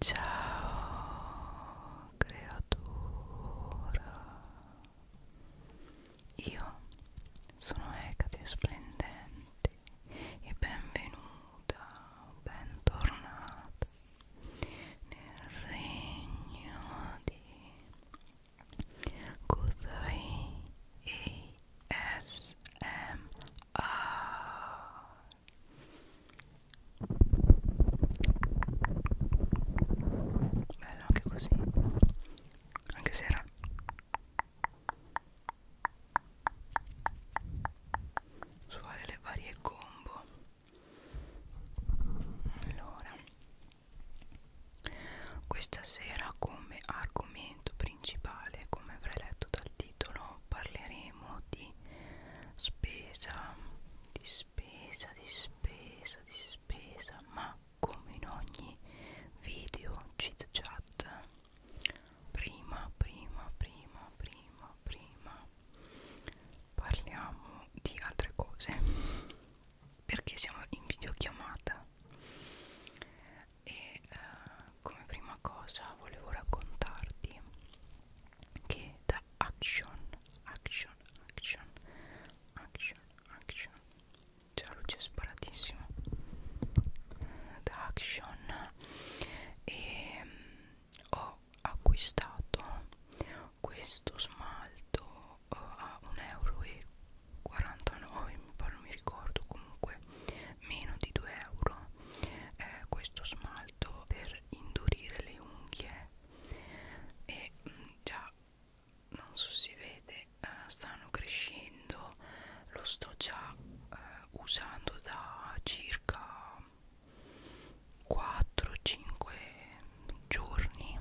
Ciao creatura, io sono Ecate Splendente e benvenuta, bentornata nel regno di Cos'hai ASMR Bello anche così Anche se era Suare le varie combo Allora questa sera come argomento principale, come avrei letto dal titolo, parleremo di spesa, di spesa, di spesa, di spesa, ma come in ogni video chit chat, prima, prima, prima, prima, prima parliamo di altre cose perché siamo in videochiamata e uh, come prima cosa volevo raccontarti che da action action action action action già luce sparatissimo da action e mm, ho acquistato questo smalto eh, a 1,49 euro mi pare non mi ricordo comunque meno di 2 euro eh, questo smalto per indurire le unghie e mh, mm, già non so si vede eh, stanno crescendo lo sto già eh, usando da circa 4-5 giorni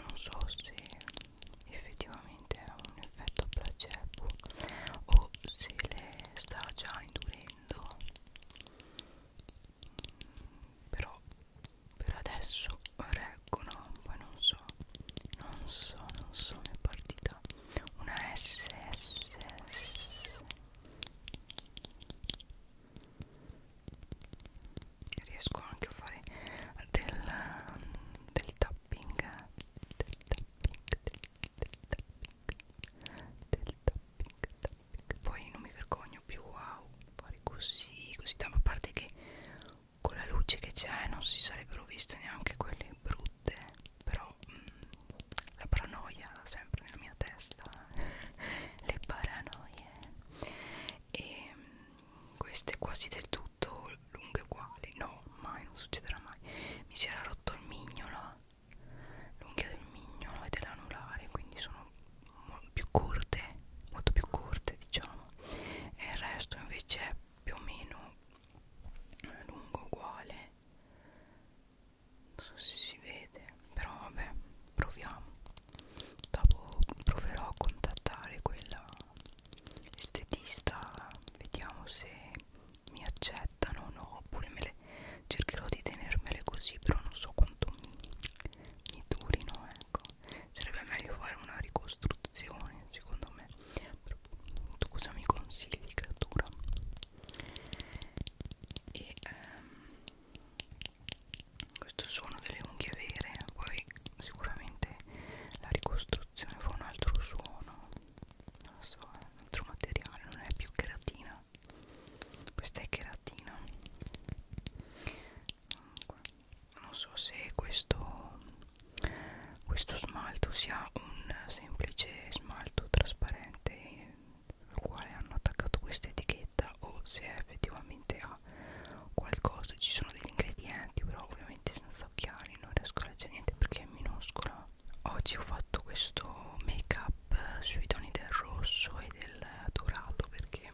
non so se effettivamente è un effetto placebo o se le sta già indurendo mm, però per adesso reggono poi non so non so non so mi è partita una SSS riesco anche a fare del, um, del tapping del tapping del, del tapping del tapping tapping poi non mi vergogno più a fare così così tanto a parte che con la luce che c'è non si sarebbero viste neanche quelle brutte però mh, mm, la paranoia sempre nella mia testa le paranoie e mm, queste quasi del tutto lunghe uguali no mai non succederà mai mi si era rotto il mignolo l'unghia del mignolo e dell'anulare quindi sono più corte molto più corte diciamo e il resto invece è più o meno eh, lungo uguale non so se si vede però vabbè proviamo dopo proverò a contattare quella estetista vediamo se mi accettano o no oppure me le cercherò di tenermele così però non so quanto mi, mi durino ecco sarebbe meglio fare una ricostruzione secondo me però, tu cosa mi consigli creatura e ehm, questo suono delle unghie vere poi sicuramente la ricostruzione fa un altro suono non lo so è un altro materiale non è più cheratina questa è cheratina non so se questo questo smalto sia un semplice smalto trasparente al quale hanno attaccato questa etichetta eccetera o se effettivamente ha qualcosa ci sono degli ingredienti però ovviamente senza occhiali non riesco a leggere niente perché è minuscola oggi ho fatto questo make up sui toni del rosso e del dorato perché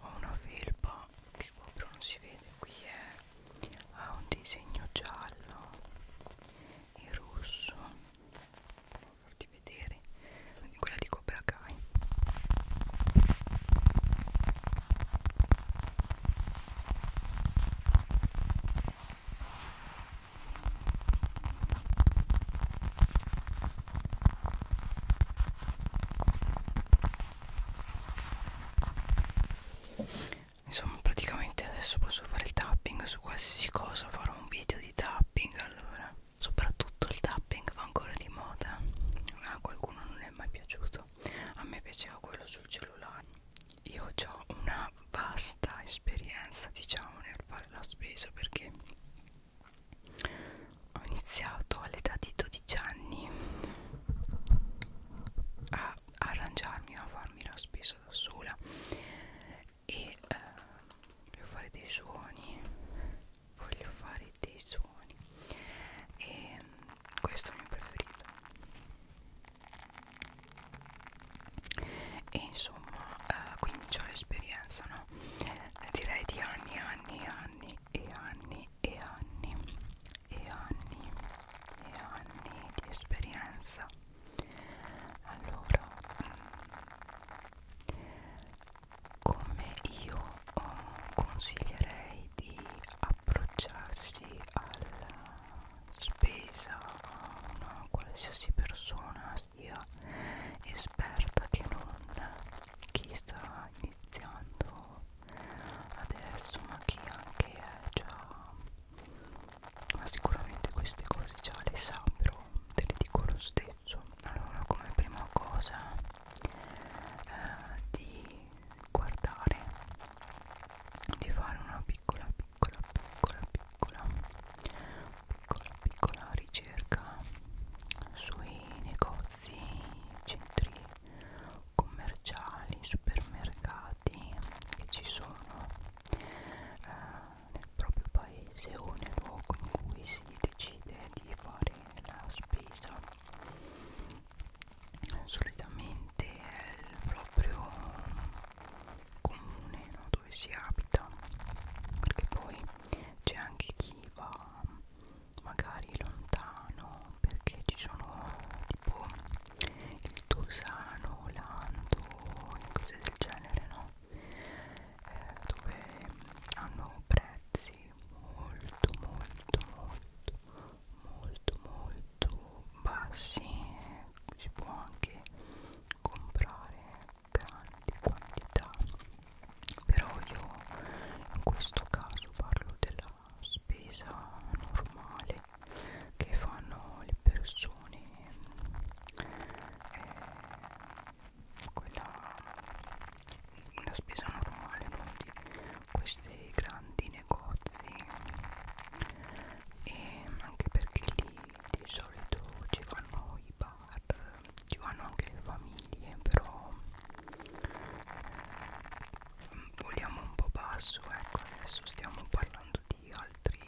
ho una felpa che qua però non si vede qui è ha un disegno giallo e rosso devo farti vedere quella di Cobra Kai Insomma praticamente adesso posso fare il tapping su qualsiasi cosa Farò un video di tapping allora Soprattutto il tapping va ancora di moda A qualcuno non è mai piaciuto A me piaceva quello sul cellulare Io ho una vasta esperienza diciamo nel fare la spesa perché ho iniziato all'età di 12 anni a arrangiarmi o a farmi la spesa da sola e eh, voglio fare dei suoni voglio fare dei suoni e questo è il mio preferito e insomma eh, quindi ho l'esperienza no? direi di anni anni anni e anni e anni e anni e anni di esperienza allora mm, come io mm, consiglierei di approcciarsi alla spesa a una qualsiasi persona sia esperta che non chi sta iniziando adesso ma chi anche è già ma sicuramente queste cose già le sa però te le dico lo stesso allora come prima cosa eh, di guardare di fare una piccola piccola piccola piccola piccola piccola ricerca sui negozi centri commerciali supermercati stati che ci sono eh, nel proprio paese o nel luogo in cui si decide di fare la spesa solitamente è il proprio comune no? dove si abita perché poi c'è anche chi va magari lontano perché ci sono tipo il Tosano, l'Anto e cose del genere, no? Eh, dove hanno prezzi molto, molto, molto, molto, molto bassi. Eh, si può anche comprare grandi quantità, però io in questo caso parlo della spesa normale che fanno le persone eh, quella la spesa normale non di questi grandi negozi e anche perché lì di solito ci vanno i bar ci vanno anche le famiglie però eh, vogliamo un po' basso ecco adesso stiamo parlando di altri,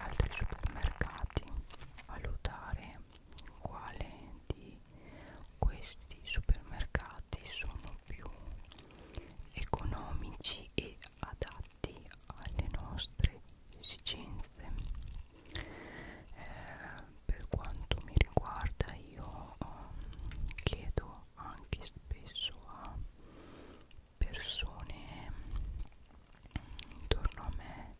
altri supermercati valutare quale di questi supermercati sono più economici e adatti alle nostre esigenze eh, per quanto mi riguarda io eh, chiedo anche spesso a persone intorno a me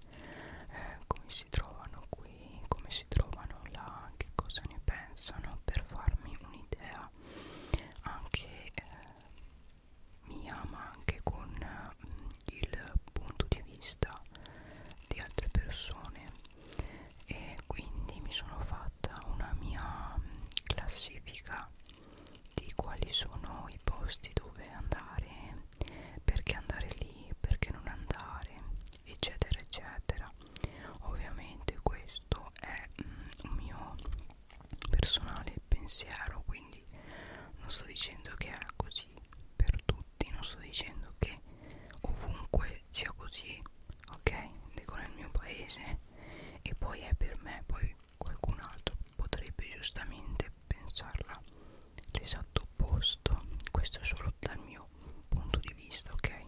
eh, come si trovano qui, come si trovano là, che cosa ne pensano per farmi un'idea anche eh, mia ma anche con mh, eh, il punto di vista di altre persone e quindi mi sono fatta una mia mh, classifica di quali sono i posti dove andare, perché andare lì, perché non andare, eccetera, eccetera. Ovviamente questo è mm, un mio personale pensiero, quindi non sto dicendo che è così per tutti, non sto dicendo che ovunque sia così, ok? Dico nel mio paese e poi è per me, poi qualcun altro potrebbe giustamente pensarla l'esatto opposto questo è solo dal mio punto di vista ok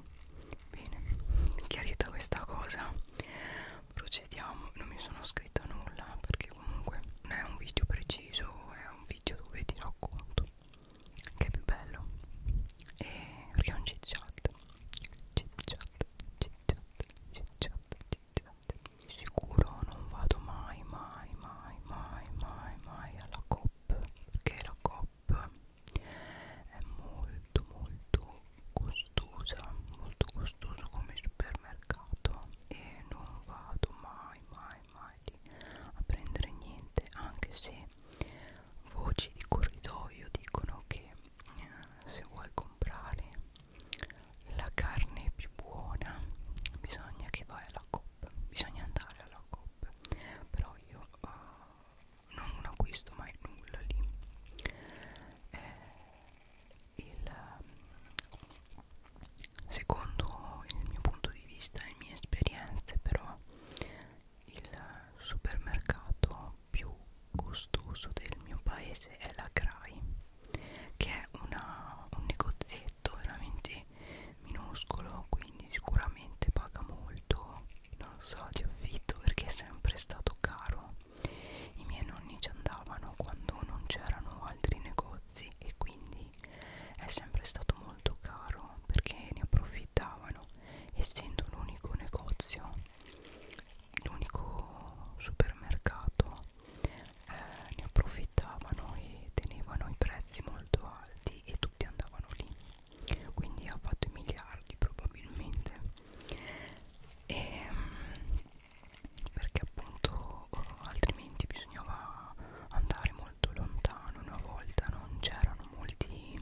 bene chiarita questa cosa procediamo non mi sono scritta nulla perché comunque non è un video preciso è un video dove ti racconto che è più bello e eh, perché è un chit chat chit chat chit cicciante, cicciante, cicciante. Di sicuro non vado mai, mai, mai, mai, mai, mai alla COP perché la COP è molto, molto costosa, molto costoso come supermercato e non vado mai, mai, mai a prendere niente anche se voci di corridoio dicono che eh, se vuoi comprare la carne più buona bisogna che vai alla COP bisogna andare alla COP però io uh, non acquisto mai nulla lì eh, il, secondo il mio punto di vista le mie esperienze però il supermercato più gustoso del mio paese è la Crai che è una, un negozietto veramente minuscolo quindi sicuramente paga molto non so di affitto perché è sempre stato caro i miei nonni ci andavano quando non c'erano altri negozi e quindi è sempre stato molto caro perché ne approfittavano essendo l'unico negozio l'unico supermercato eh, ne approfittavano e tenevano i prezzi molto alti e tutti andavano lì quindi ha fatto i miliardi probabilmente e, ehm, perché appunto altrimenti bisognava andare molto lontano una volta non c'erano molti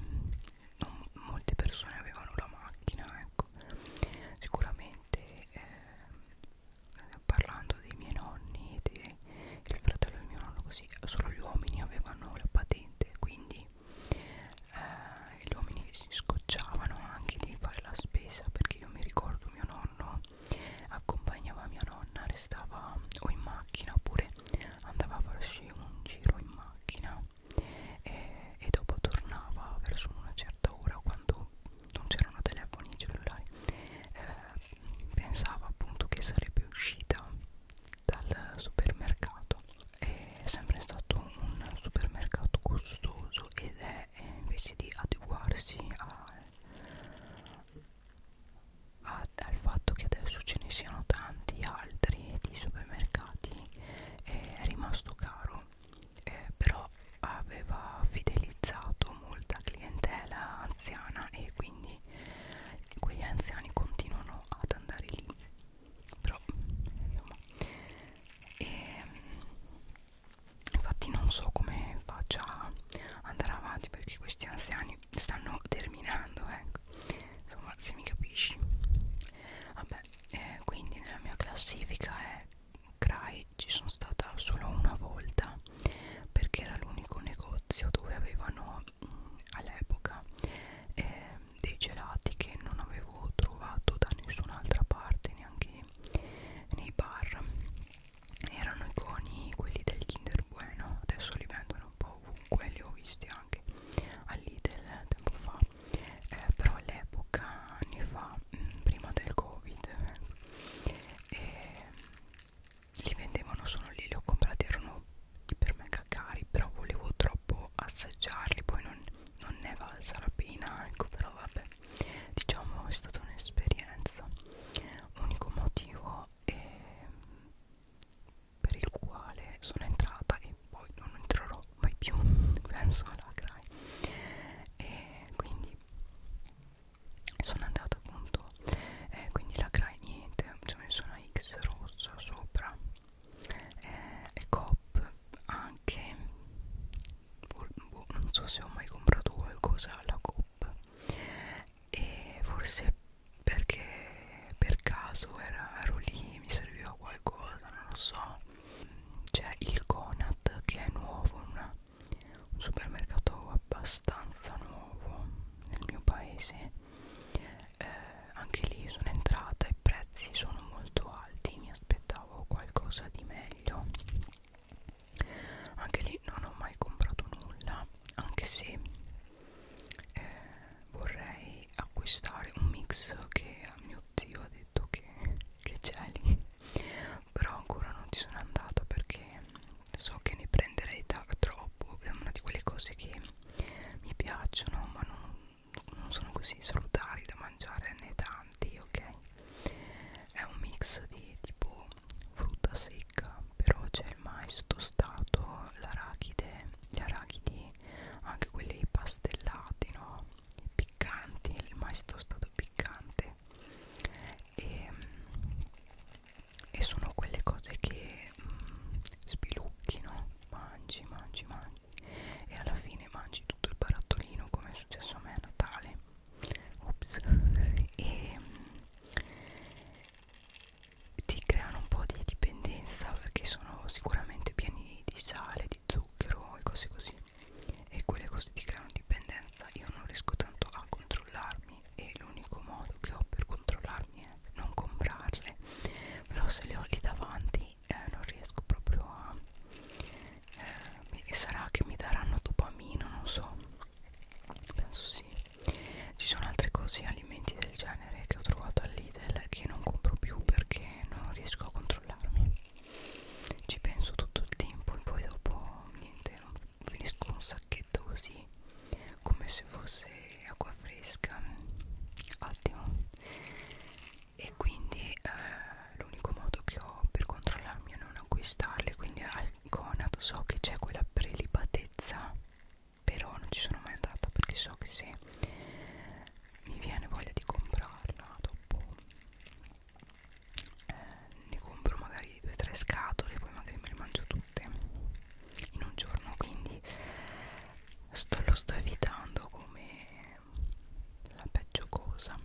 non molte persone avevano la macchina ecco ecco sicuramente eh, parlando dei miei nonni e del fratello del mio nonno così solo gli uomini avevano la patente quindi eh, gli uomini si scocciavano anche di fare la spesa perché io mi ricordo mio nonno accompagnava mia nonna restava o in macchina oppure andava a farsi un giro in macchina e, e dopo tornava verso una certa ora quando non c'erano telefoni cellulari eh, pensava appunto che sarebbe uscita dal supermercato è sempre stato un supermercato costoso ed è invece di adeguarsi a, a, al fatto che adesso ce ne siano tanti altri di supermercati è rimasto caro no eh, però aveva fidelizzato molta clientela anziana e quindi quegli anziani continuano ad andare lì però insomma e, ehm, infatti non so come faccia andare avanti perché questi anziani stanno terminando ecco insomma se mi capisci vabbè eh, quindi nella mia classifica è Cry ci sono stata solo una volta perché era l'unico negozio dove avevano mm, all'epoca eh, dei gelati che non avevo trovato da nessun'altra parte neanche nei bar erano i coni quelli del Kinder Bueno adesso li vendono un po' ovunque li ho visti anche all'Idel tempo fa eh, però all'epoca anni fa mh, mm, prima del covid eh, li vendevano solo lì li ho comprati erano per me cacari però volevo troppo assaggiarli poi non, non ne è valsa la pena ecco però vabbè diciamo è stata un'esperienza unico motivo è ehm, per il quale sono entrata e poi non entrerò mai più penso alla CRAI e quindi sono andata appunto eh, quindi la CRAI niente ci ho messo una X rossa sopra eh, e COP anche boh, non so se ho mai comprato qualcosa alla COP e forse perché per caso era, ero lì mi serviva qualcosa non lo so c'è il Conad che è nuovo una, un supermercato abbastanza nuovo nel mio paese eh, anche lì sono entrata i prezzi sono molto alti mi aspettavo qualcosa di meglio anche lì non ho mai comprato nulla anche se eh, vorrei acquistare un mix che a mio tuo zio ha detto che, che c'è lì però ancora non ci sono andato perché so che ne prenderei troppo è una di quelle cose che mi piacciono ma non, non sono così salutari da mangiare né tanti ok è un mix di tipo frutta secca però c'è il mais tostato l'arachide gli arachidi anche quelli pastellati no piccanti, il mais tostato piccante e, e sono quelle cose che mm, sbilucchino, mangi, mangi, mangi e alla fine mangi tutto il barattolino come è successo a me a Natale Ops. e mm, ti creano un po' di dipendenza perché sono sicuramente pieni di sale, di zucchero e cose così e quelle cose ti creano dipendenza io non riesco tanto a controllarmi e l'unico modo che ho per controllarmi è non comprarle però se le ho lì davanti eh, non riesco proprio a eh, e sarà che mi daranno dopamina non so penso sì ci sono altre cose alimenti del genere che ho trovato all'Idel che non compro più perché non riesco a controllarmi ci penso tutto il tempo e poi dopo niente finisco un sacchetto così come se fosse acqua fresca ottimo e quindi eh, l'unico modo che ho per controllarmi è non acquistarle quindi al conato so che c'è quella prelibatezza però non ci sono mai andata perché so che se mi viene voglia di comprarla dopo eh, ne compro magari 2-3 scatole e poi magari me le mangio tutte in un giorno quindi sto, lo sto evitando come la peggio cosa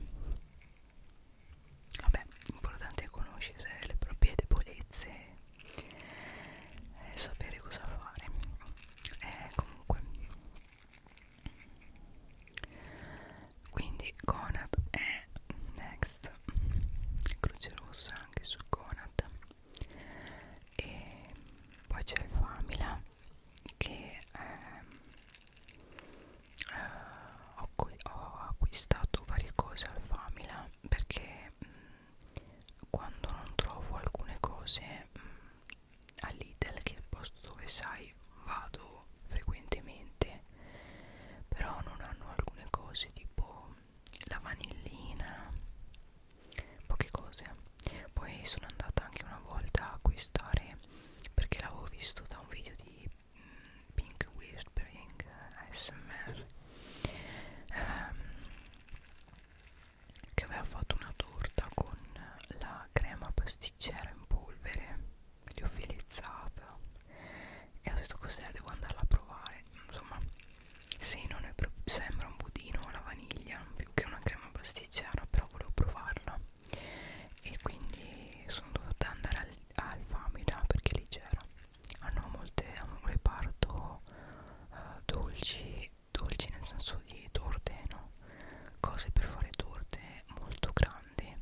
vabbè l'importante è conoscere le proprie debolezze e sapere cosa fare eh, comunque quindi Conad è next Croce Rossa anche su Conad e poi c'è il Famila che ehm, eh, ho, ho acquistato varie cose al Famila perché mh, mm, quando non trovo alcune cose mm, all'Idel che è il posto dove sai cui vado frequentemente però non hanno alcune cose tipo la vanillina poche cose poi sono andata anche una volta a acquistare perché l'avevo visto da un video di mm, Pink Whispering ASMR ehm, che aveva fatto una torta con la crema pasticcera in polvere liofilizzata e ho detto cos'è devo andarla a provare insomma sì non è proprio sembra un budino alla vaniglia più che una crema pasticcera però volevo provarla e quindi sono dovuta andare al, al Famila perché lì c'era hanno molte hanno un reparto uh, dolci dolci nel senso di torte no cose per fare torte molto grandi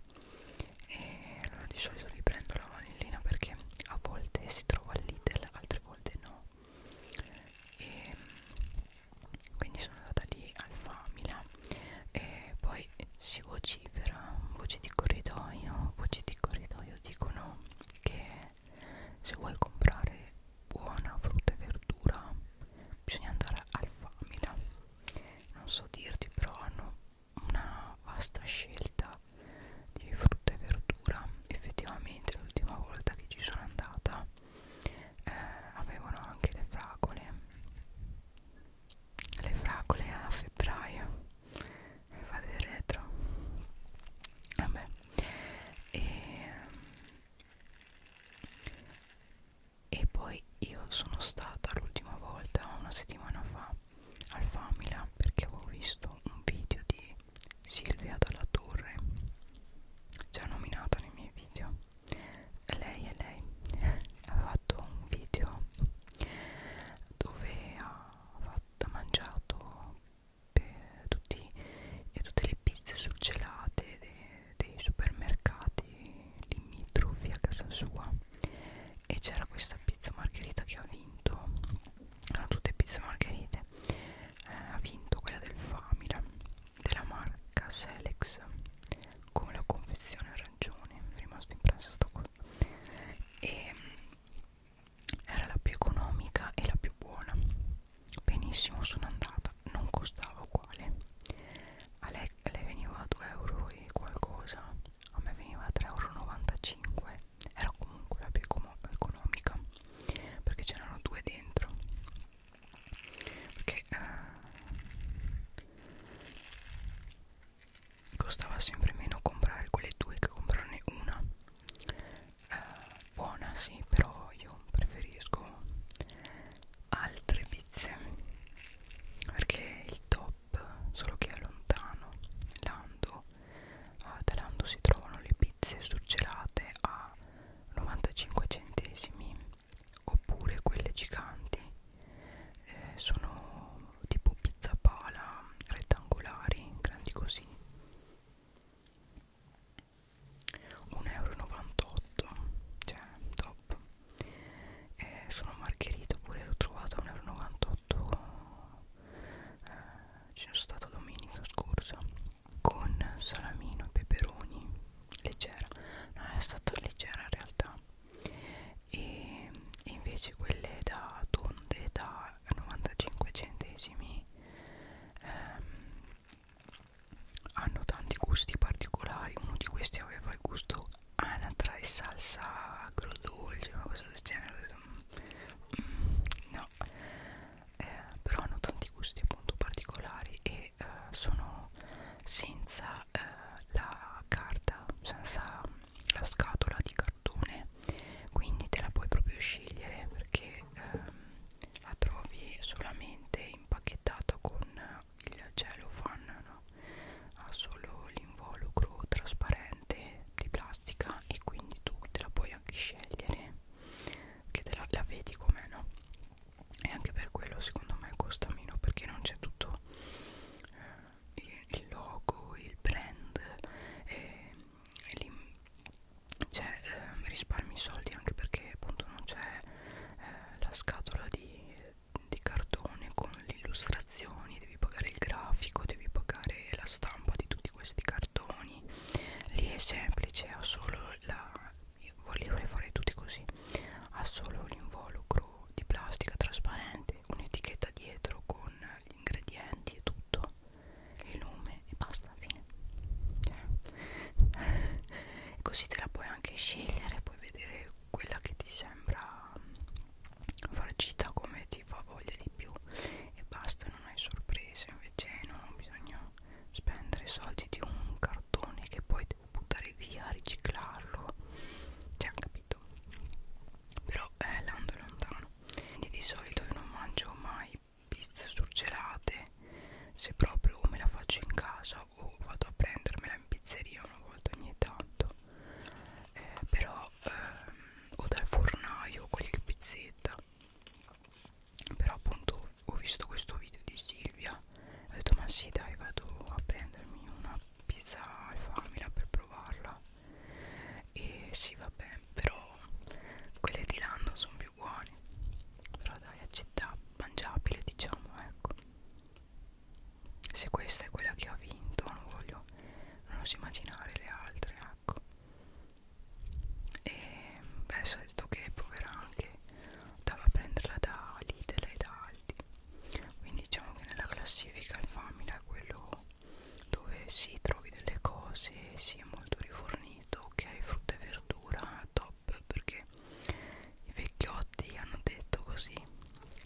e allora di solito riprendo la vanillina perché a volte si trova all'Idel altre volte no e quindi sono andata lì al Famila e poi si vocifera voci di corridoio voci di corridoio dicono che se vuoi comprare buona frutta e verdura bisogna andare al Famila non so dirti però hanno una vasta scelta di frutta e verdura effettivamente l'ultima volta che ci sono andata eh, avevano anche le fragole le fragole a febbraio mi fa del retro vabbè e e poi io sono stata l'ultima volta una settimana fa al Famila perché avevo visto un video di Silvia Dalla Torre già nominata nei miei video lei è lei ha fatto un video dove ha, fatto, ha mangiato tutti, tutte le pizze surgelate dei, dei supermercati limitrofi a casa sua e c'era questa pizza margherita che ha vinto erano tutte pizze margherite eh, ha vinto quella del Famila della marca Selex con la confezione arancione mi è rimasto impresso sto qua e mm, era la più economica e la più buona benissimo sono andata non costava uguale a lei, a lei veniva a 2 euro e qualcosa a me veniva 3,95 euro era comunque la più economica perché c'erano due dentro perché eh, costava sempre meno comprare quelle due che comprarne una eh, buona sì però io preferisco altre pizze perché il top shop solo che è lontano Lando uh, da Lando si trovano le pizze surgelate a 95 centesimi oppure quelle giganti eh, sono tipo pizza pala rettangolari grandi così 1,98 euro cioè top eh, sono margherita pure l'ho trovata a 1,98 eh, ce ne sono stata domenica scorsa con salamino e peperoni leggera non è stata leggera in realtà e, e invece quelle da tonde da 95 centesimi ehm, hanno tanti gusti particolari uno di questi aveva il gusto anatra e salsa agrodolce ma cosa del genere mm, mm, no eh, però hanno tanti gusti appunto particolari e eh, sono senza eh, la carta senza la scatola di cartone quindi te la puoi proprio scegliere perché ehm, la trovi solamente impacchettata con il cellophane no? ha solo l'involucro trasparente di plastica e quindi tu te la puoi anche scegliere che te la, la vedi com'è no? e anche per quello secondo me costa meno perché non c'è tutto eh, il, il logo, il brand e, e lì cioè, eh, risparmi soldi anche perché appunto non c'è eh, la scatola di di cartone con le illustrazioni, devi pagare il grafico, devi pagare la stampa di tutti questi cartoni. Lì è semplice, ha solo la io volevo fare tutti così. Ha solo l'involucro di plastica trasparente, un'etichetta dietro con gli ingredienti e tutto, il nome e basta, fine. Cioè. Così te la puoi anche scegliere, puoi vedere quella che ti sembra mm, farcita come ti fa voglia di più e basta non hai sorprese invece non bisogna spendere soldi di un cartone che poi devo buttare via riciclarlo cioè capito però è l'ando lontano quindi di solito io non mangio mai pizze surgelate se proprio me la faccio in casa o vado a prendermela in pizzeria una volta ogni tanto eh, però ehm, o dal fornaio quelli che pizzetta però appunto ho visto questo video di Silvia e ho detto ma sì dai vado a prendermi una pizza al famila per provarla e sì vabbè però quelle di là non sono più buone però dai accetta mangiabile diciamo ecco se questa è quella che ha vinto non voglio non oso immaginare le altre ecco e adesso ha detto che proverà anche andava a prenderla da Lidl e da Aldi quindi diciamo che nella classifica il Famina è quello dove si trovi delle cose si è molto rifornito che hai frutta e verdura top perché i vecchiotti hanno detto così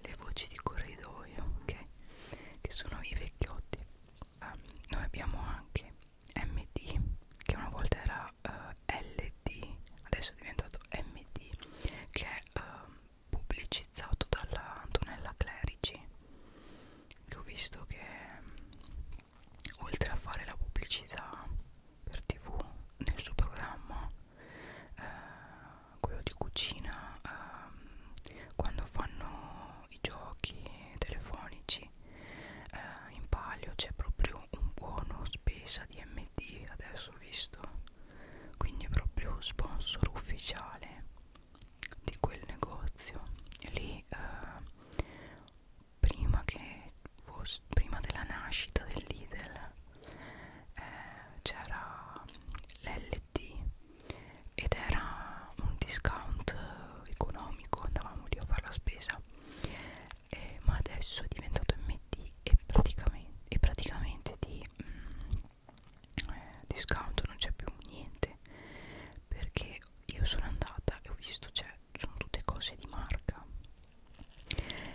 le voci di corridoio okay? che sono i vecchiotti um, noi abbiamo anche MD che una volta era uh, eh, LD adesso è diventato MD che è uh, pubblicizzato dalla Antonella Clerici che ho visto che um, oltre a fare la pubblicità per tv nel suo programma eh, quello di cucina ehm, quando fanno i giochi telefonici eh, in palio c'è proprio un buono spesa di MD adesso ho visto quindi è proprio sponsor ufficiale di quel negozio e lì eh, prima che fosse prima della nascita dell'Idel eh, c'era l'LT ed era un discount economico andavamo lì a fare la spesa eh, ma adesso è diventato MD e praticamente, e praticamente di mm, eh, discount non c'è più niente perché io sono andata e ho visto cioè sono tutte cose di marca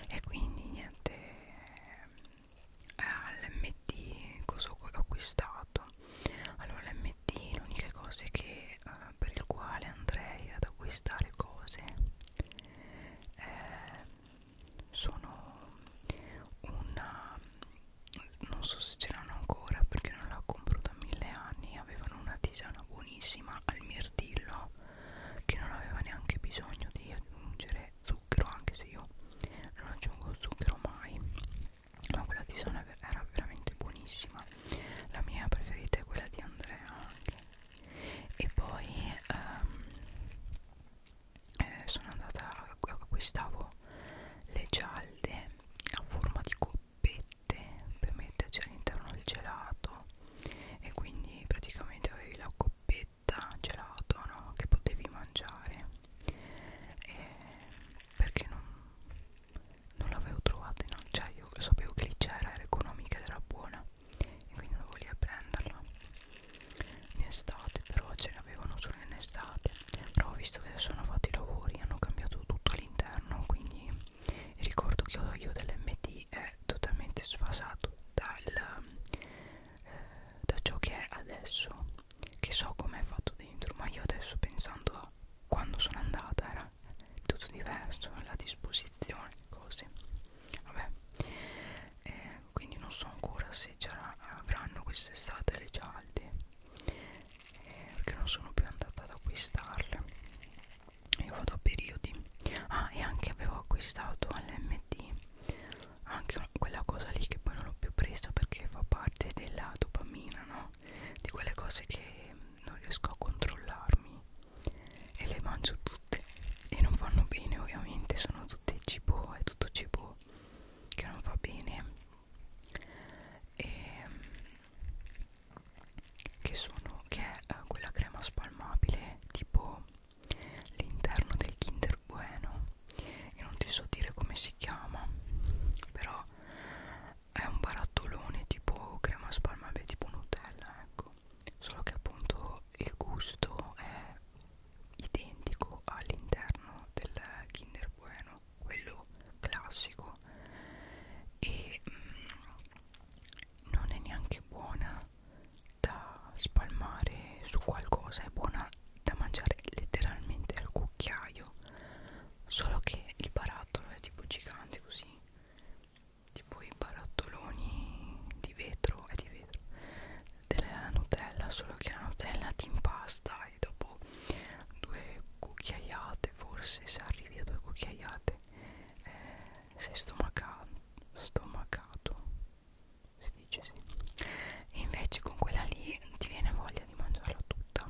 e quindi niente eh, all'MT cosa ho acquistato allora l'MT l'unica cosa che, eh, per il quale andrei ad acquistare cose eh, sono una non so se ce l'hanno ancora perché non la compro da mille anni avevano una tisana buonissima al mirtillo che non aveva neanche bisogno di aggiungere zucchero anche se io non aggiungo zucchero mai ma quella di Sona era veramente buonissima la mia preferita è quella di Andrea anche e poi um, eh, sono andata acquistavo le gialle a forma di coppette per metterci all'interno del gelato e quindi praticamente avevi la coppetta fetta gelato no? che potevi mangiare e perché non, non l'avevo trovata in no? cioè io sapevo che lì c'era era economica ed era buona e quindi andavo lì a prenderla in estate però ce l'avevano solo in estate però ho visto che adesso hanno fatto i lavori hanno cambiato tutto all'interno quindi ricordo che io dell'MD è totalmente sfasato dal eh, da ciò che è adesso che so com'è fatto dentro ma io adesso pensando a quando sono andata era tutto diverso la disposizione cose vabbè eh, quindi non so ancora se avranno quest'estate le cialde eh, perché non sono più andata ad acquistarle io vado a periodi ah e anche avevo acquistato all'MD anche una, quella cosa lì che poi non l'ho più presa perché fa parte della dopamina, no? Di quelle cose che non riesco a controllarmi e le mangio tutte e non vanno bene ovviamente, sono tutte cibo, è tutto cibo che non va bene e che sono che è eh, quella crema spalmabile tipo l'interno del Kinder super buono e non ti so dire come si chiama però è un barattolone tipo crema spalma beh, tipo nutella ecco solo che appunto il gusto è identico all'interno del kinder bueno quello classico e mm, non è neanche buona da spalmare su qualcosa è buona da mangiare letteralmente al cucchiaio solo che il barattolo è tipo gigante così tipo i barattoloni di vetro è di vetro della nutella solo che la nutella ti impasta e dopo due cucchiaiate forse se arrivi a due cucchiaiate eh, sei stomacato stomacato si dice sì e invece con quella lì ti viene voglia di mangiarla tutta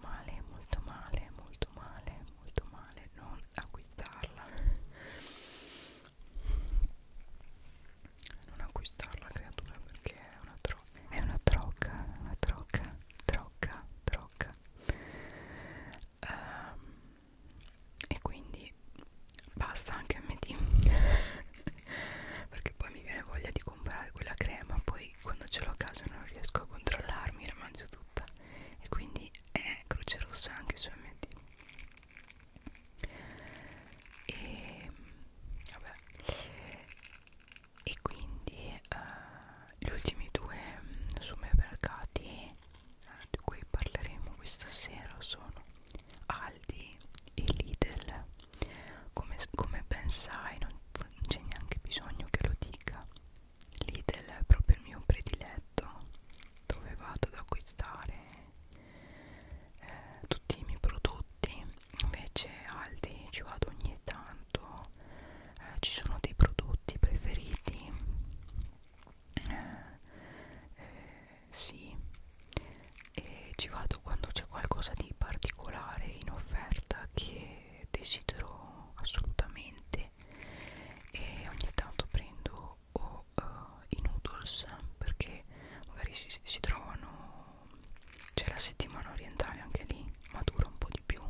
male molto male molto male molto male non acquistarla non acquistarla creatura perché è una trocca è una trocca una trocca trocca trocca um, ehm, e quindi basta anche a me perché poi mi viene voglia di comprare quella crema poi quando ce l'ho a casa non riesco a controllarmi la mangio tutta e quindi è eh, croce rossa anche su MD e vabbè e quindi uh, gli ultimi due supermercati uh, eh, di cui parleremo questa sera sono Aldi e Lidl come, come ben sai, non, non c'è neanche bisogno che lo dica. Lidl è proprio il mio prediletto, dove vado ad acquistare eh, tutti i miei prodotti. Invece Aldi ci vado ogni tanto, eh, ci sono dei prodotti preferiti. Eh, eh, sì, e ci vado quando c'è qualcosa di particolare in offerta che desidero assolutamente e ogni tanto prendo o uh, i noodles perché magari si, si trovano c'è la settimana orientale anche lì ma dura un po' di più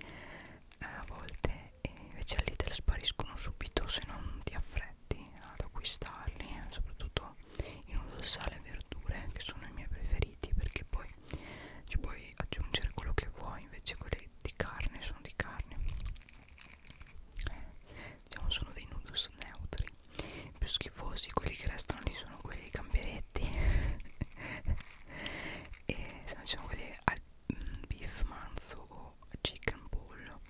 eh, a volte e invece all'Ital spariscono subito se non ti affretti ad acquistarli eh, soprattutto uova in uso sale e verdure che sono i miei preferiti perché poi ci puoi aggiungere quello che vuoi invece quelli di carne sono di carne diciamo sono dei noodles neutri I più schifosi quelli che restano lì sono quelli dei gamberetti e se non ci sono quelli al mm, beef manzo o chicken bowl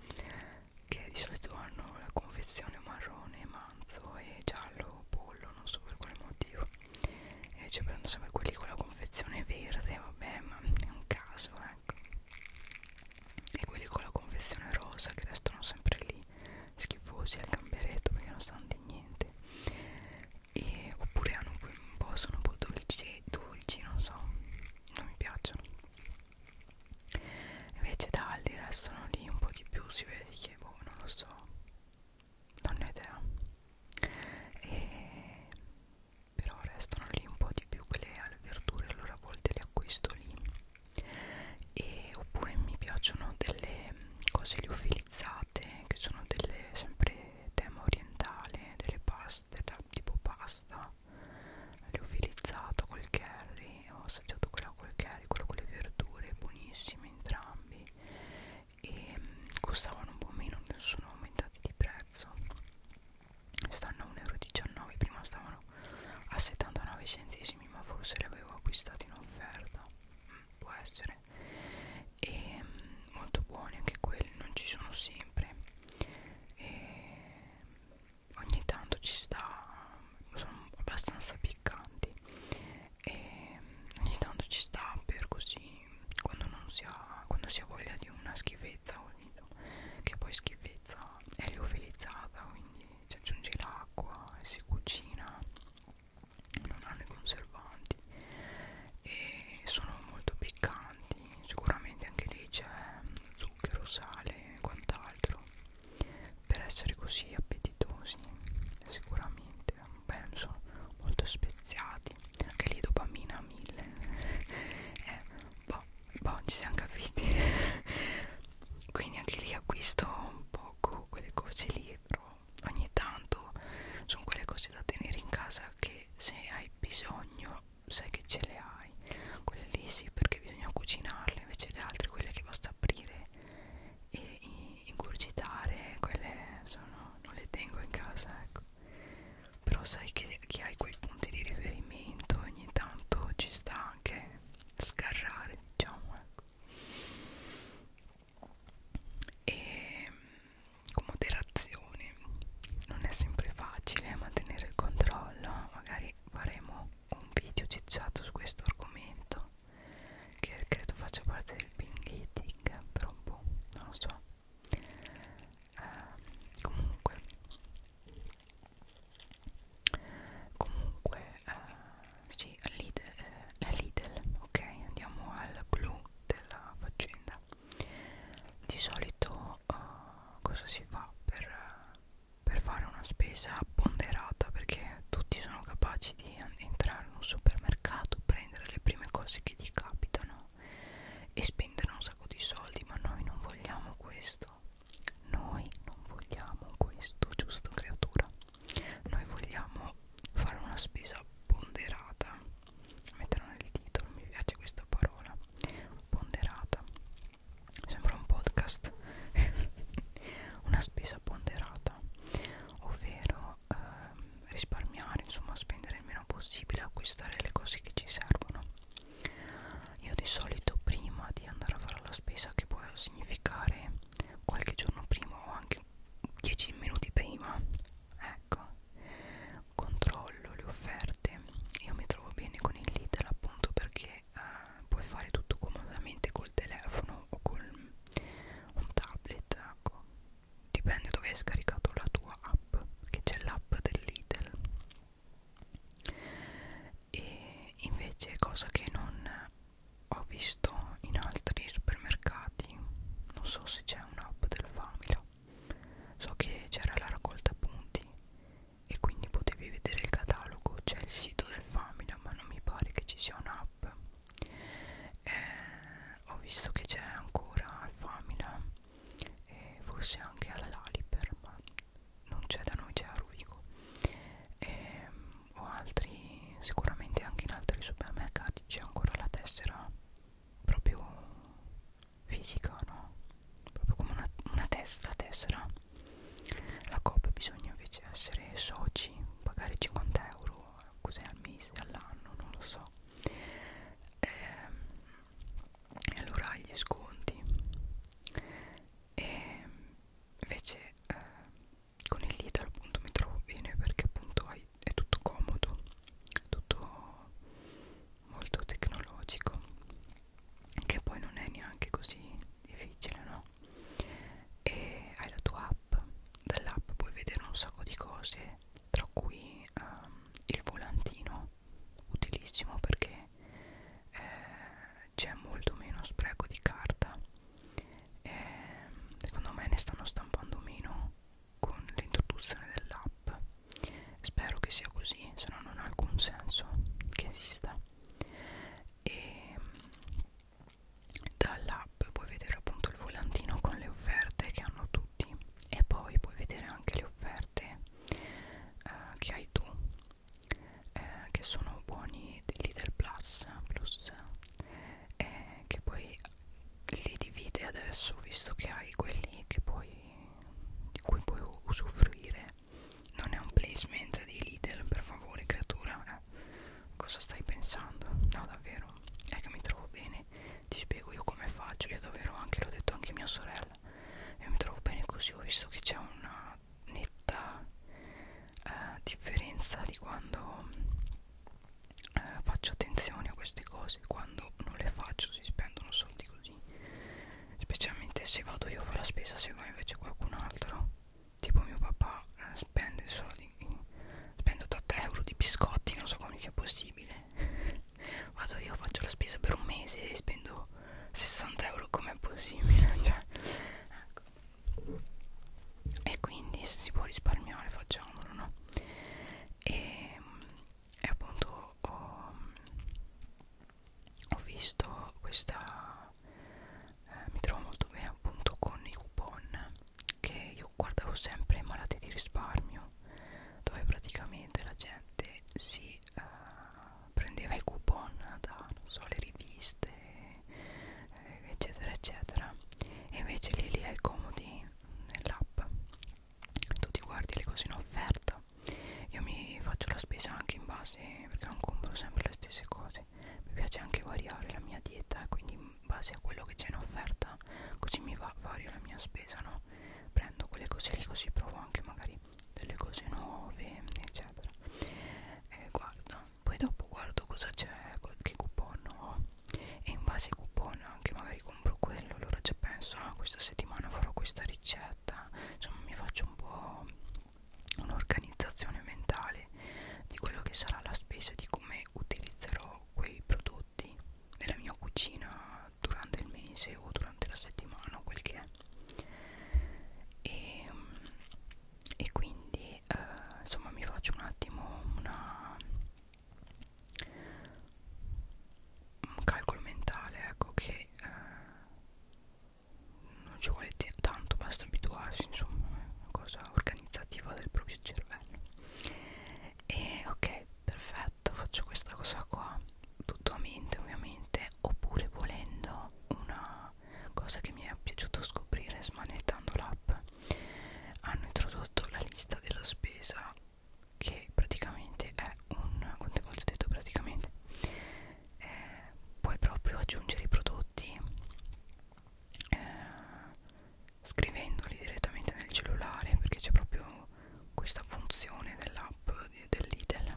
che di solito hanno la confezione marrone ma avanzo e giallo pollo non so per quale motivo e ci prendo sempre quelli con la confezione verde vabbè ma è un caso ecco e quelli con la confezione rosa che restano sempre lì schifosi al gamberetto perché non stanno di niente e, oppure hanno un po' sono un po' dolci dolci non so non mi piacciono invece da Aldi restano lì un po' di più si vede che boh non lo so va non ne ho idea e però restano lì un po' di più quelle alle verdure allora a volte le acquisto lì e oppure mi piacciono delle cose liofilizzate che sono delle sempre tema orientale delle paste tipo pasta liofilizzata col curry e ho assaggiato quella col curry, quello con le verdure, buonissimi entrambi e mm, costavano un po' meno, sono aumentati di prezzo stanno a 1,19 euro, prima stavano a 79 centesimi ma forse li avevo acquistati in offerta mm, può essere e mm, molto buoni anche quelli, non ci sono sempre e ogni tanto ci sta sono abbastanza piccanti e ogni tanto ci sta per così quando non si ha quando si ha voglia di una schifezza così, che poi schifezza è liofilizzata quindi ci aggiunge l'acqua e si cucina non hanno i conservanti e sono molto piccanti sicuramente anche lì c'è zucchero sale e quant'altro per essere così appetitosi sicuramente beh sono molto speziati anche lì dopamina a mille eh, boh, boh ci siamo capiti quindi anche lì acquisto un poco quelle cose lì però ogni tanto sono quelle cose da tenere in casa che se hai bisogno sai che ce le hai quelle lì sì perché bisogna cucinarle invece le altre quelle che basta aprire e ingurgitare quelle sono, non le tengo in casa ecco però sai che, che hai quei punti di riferimento ogni tanto ci sta anche scarrare diciamo ecco e con moderazione non è sempre facile mantenere il controllo magari faremo un video cicciato su questo argomento che credo faccia parte del ping eating per un po', non lo so eh, comunque comunque eh, sì, Lidl, eh, la Lidl ok, andiamo al clou della faccenda di solito eh, cosa si fa per, per fare una spesa ponderata perché tutti sono capaci di di entrare in un supermercato, prendere le prime cose che gli capitano e spendere un sacco di soldi, ma noi non vogliamo questo. Noi non vogliamo questo, giusto creatura? Noi vogliamo fare una spesa ponderata. Metterò nel titolo, mi piace questa parola. Ponderata. Sembra un podcast. una spesa spesa ponderata ovvero ehm, risparmiare insomma spendere il meno possibile acquistare le cose che ci servono io di solito prima di andare a fare la spesa che può significare qualche giorno prima o anche 10 minuti prima ecco controllo le offerte io mi trovo bene con il Lidl appunto perché eh, puoi fare tutto comodamente col telefono o col un tablet ecco dipende dove hai scaricato la tua app che c'è l'app dell'Idel e invece cosa che non ho visto in altri supermercati non so se c'è un'app del Famila so che c'era la raccolta punti e quindi potevi vedere il catalogo c'è il sito del Famila ma non mi pare che ci sia un'app app eh, ho visto che c'è ancora al Famila e forse anche alla Laliper ma non c'è da noi c'è a Rovigo eh, o altri sicuramente anche in altri supermercati c'è ancora la tessera proprio fisica no proprio come una, una testa la tessera la COP bisogna invece essere soci pagare 50 euro cos'è al mese, all'anno, non lo so e, ehm, e allora gli sconti e invece eh, con il Lidl appunto mi trovo bene perché appunto hai, è tutto comodo tutto molto tecnologico che poi non è neanche così difficile no no e hai la tua app dall'app puoi vedere un sacco di cose tra cui um, il volantino utilissimo perché eh, c'è molto meno spreco di carta e, ehm, secondo me ne stanno stampando meno con l'introduzione dell'app spero che sia così se no non ha alcun senso che esista e ehm, dall'app puoi vedere appunto il volantino con le offerte che hanno tutti e poi puoi vedere anche le offerte eh, che hai tu eh, che sono buoni lì del plus, plus eh, che poi li divide adesso visto che hai quelli che puoi di cui puoi usufruire non è un placement di Lidl per favore creatura eh. Cosa stai pensando? No davvero, è che mi trovo bene Ti spiego io come faccio Io davvero anche, l'ho detto anche mia sorella Io mi trovo bene così Ho visto che c'è una netta eh, differenza Di quando eh, faccio attenzione a queste cose Quando non le faccio si spendono soldi così Specialmente se vado io a fare la spesa Se va invece qualcun altro tipo mio papà eh, spende soldi spende 80 euro di biscotti non so come sia possibile vado io faccio la spesa per un mese e spendo 60 euro com'è possibile cioè, ecco. e quindi se si può risparmiare facciamolo no e, e appunto ho, ho visto questa eh, mi trovo molto bene appunto con i coupon che io guardavo sempre malati di risparmio dove praticamente la gente si eh, prendeva i coupon da non so le riviste eh, eccetera eccetera e invece lì li hai comodi nell'app tu ti guardi le cose in offerta io mi faccio la spesa anche in base perché non compro sempre le stesse cose cose mi piace anche variare la mia dieta quindi in base a quello che c'è in offerta così mi va vario la mia spesa no prendo quelle cose lì così provo anche magari delle cose nuove eccetera e guardo poi dopo guardo cosa c'è che coupon ho e in base ai coupon anche magari compro quello allora già penso ah, questa settimana farò questa ricetta insomma mi faccio un po' un'organizzazione mentale di quello che sarà la spesa di come utilizzerò quei prodotti nella mia cucina durante il mese o durante la settimana o quel che è e, ehm, e quindi eh, insomma mi faccio un attimo una, un calcolo mentale ecco che eh, non ci vuole tanto basta abituarsi insomma è una cosa organizzativa del proprio cervello e ok perfetto faccio questa cosa qua tutto a mente ovviamente oppure volendo una cosa che mi è piaciuto scoprire smanettando l'app hanno introdotto la lista della spesa che praticamente è un quante volte ho detto praticamente eh, puoi proprio aggiungere i prodotti eh, scrivendoli direttamente nel cellulare perché c'è proprio questa funzione dell'app dell'Idel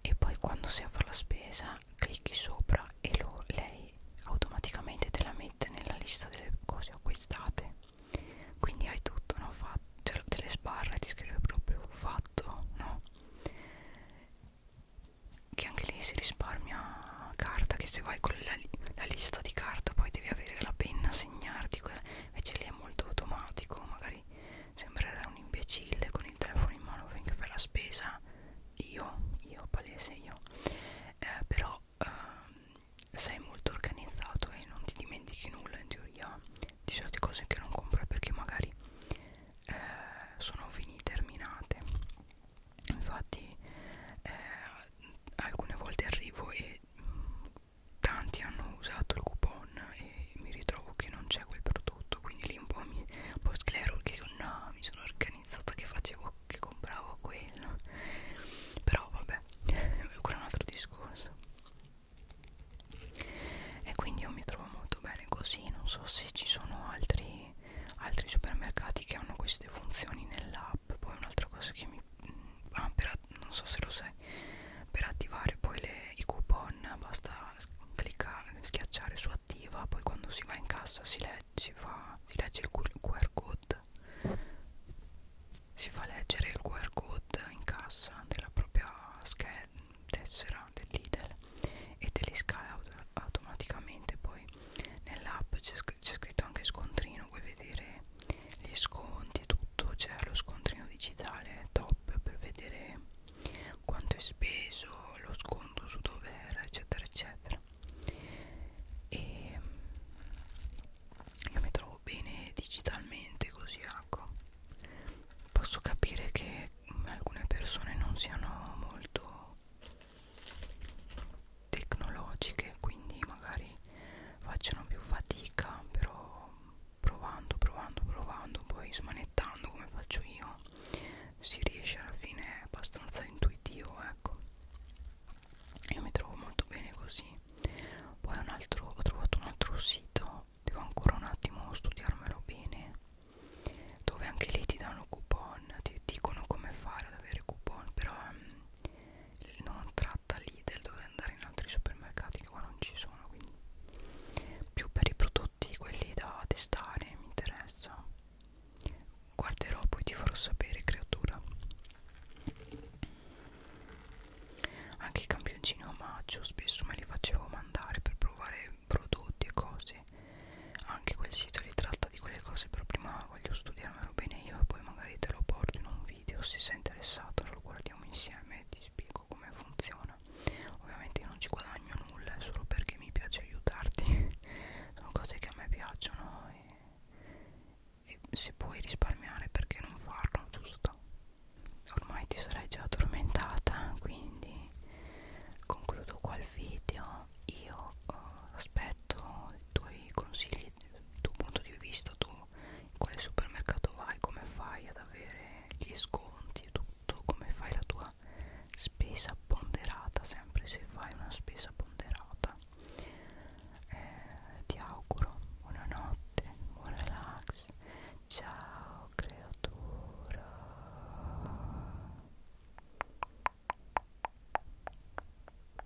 e poi quando sei a fare la spesa clicchi sopra e lo, lei automaticamente te la mette nella lista delle cose acquistate quindi hai tutto no? fatto cioè, te le sbarra e ti scrive proprio fatto no? che anche lì si risparmia carta che se vai con la, la lista di carta poi devi avere la penna a segnarti invece lì è molto automatico magari sembrerà un imbecille con il telefono in mano finché fai la spesa io, io palese io eh, però eh, sei molto organizzato e non ti dimentichi nulla in teoria di certe cose che non compri perché magari eh, sono finite terminate infatti eh, alcune volte arrivo e mh, mm, tanti hanno usato il coupon e mi ritrovo che non c'è quel prodotto quindi lì un po' mi un po' sclero che dico no mi sono organizzata che facevo che compravo quello però vabbè quello è un altro discorso e quindi io mi trovo molto bene così non so se ci sono altri altri supermercati che hanno questi queste funzioni nell'app poi un'altra cosa che mi mm, ah, per, non so se lo sai per attivare poi le, i coupon basta cliccare schiacciare su attiva poi quando si va in cassa si legge, si fa, si legge il QR code si fa leggere il QR code in cassa della propria scheda tessera dell'idel e te li scala automaticamente poi poi nell'app c'è scritto anche scontrino puoi vedere gli sconti e tutto c'è lo scontrino digitale top per vedere quanto è speso lo sconto su dove era eccetera eccetera e io mi trovo bene digitalmente così ecco posso capire che alcune persone non siano molto tecnologiche quindi magari facciano più fatica però provando provando provando poi smanettando come faccio io si riesce alla fine è abbastanza intuitivo ecco io mi trovo molto bene così poi un altro, ho trovato un altro sito devo ancora un attimo studiarmelo bene dove anche lì ti danno coupon ti dicono come fare ad avere coupon però um, non tratta Lidl dovrei andare in altri supermercati che qua non ci sono quindi più per i prodotti quelli da testare mi interessa guarderò poi ti farò sapere creatura anche i campioncini a maggio spesso me li facevo mandare per provare prodotti e cose anche quel sito li tratta di quelle cose però prima voglio studiarmelo bene io e poi magari te lo porto in un video se sei interessato lo guardiamo insieme e ti spiego come funziona ovviamente io non ci guadagno nulla è solo perché mi piace aiutarti sono cose che a me piacciono e, e se puoi risparmiare perché non farlo giusto ormai ti sarei già addormentata quindi concludo qua il video io uh, aspetto i tuoi consigli il tuo punto di vista tu in quale supermercato vai come fai ad avere gli sconti e tutto come fai la tua spesa ponderata sempre se fai una spesa ponderata eh, ti auguro buonanotte buon relax ciao creatura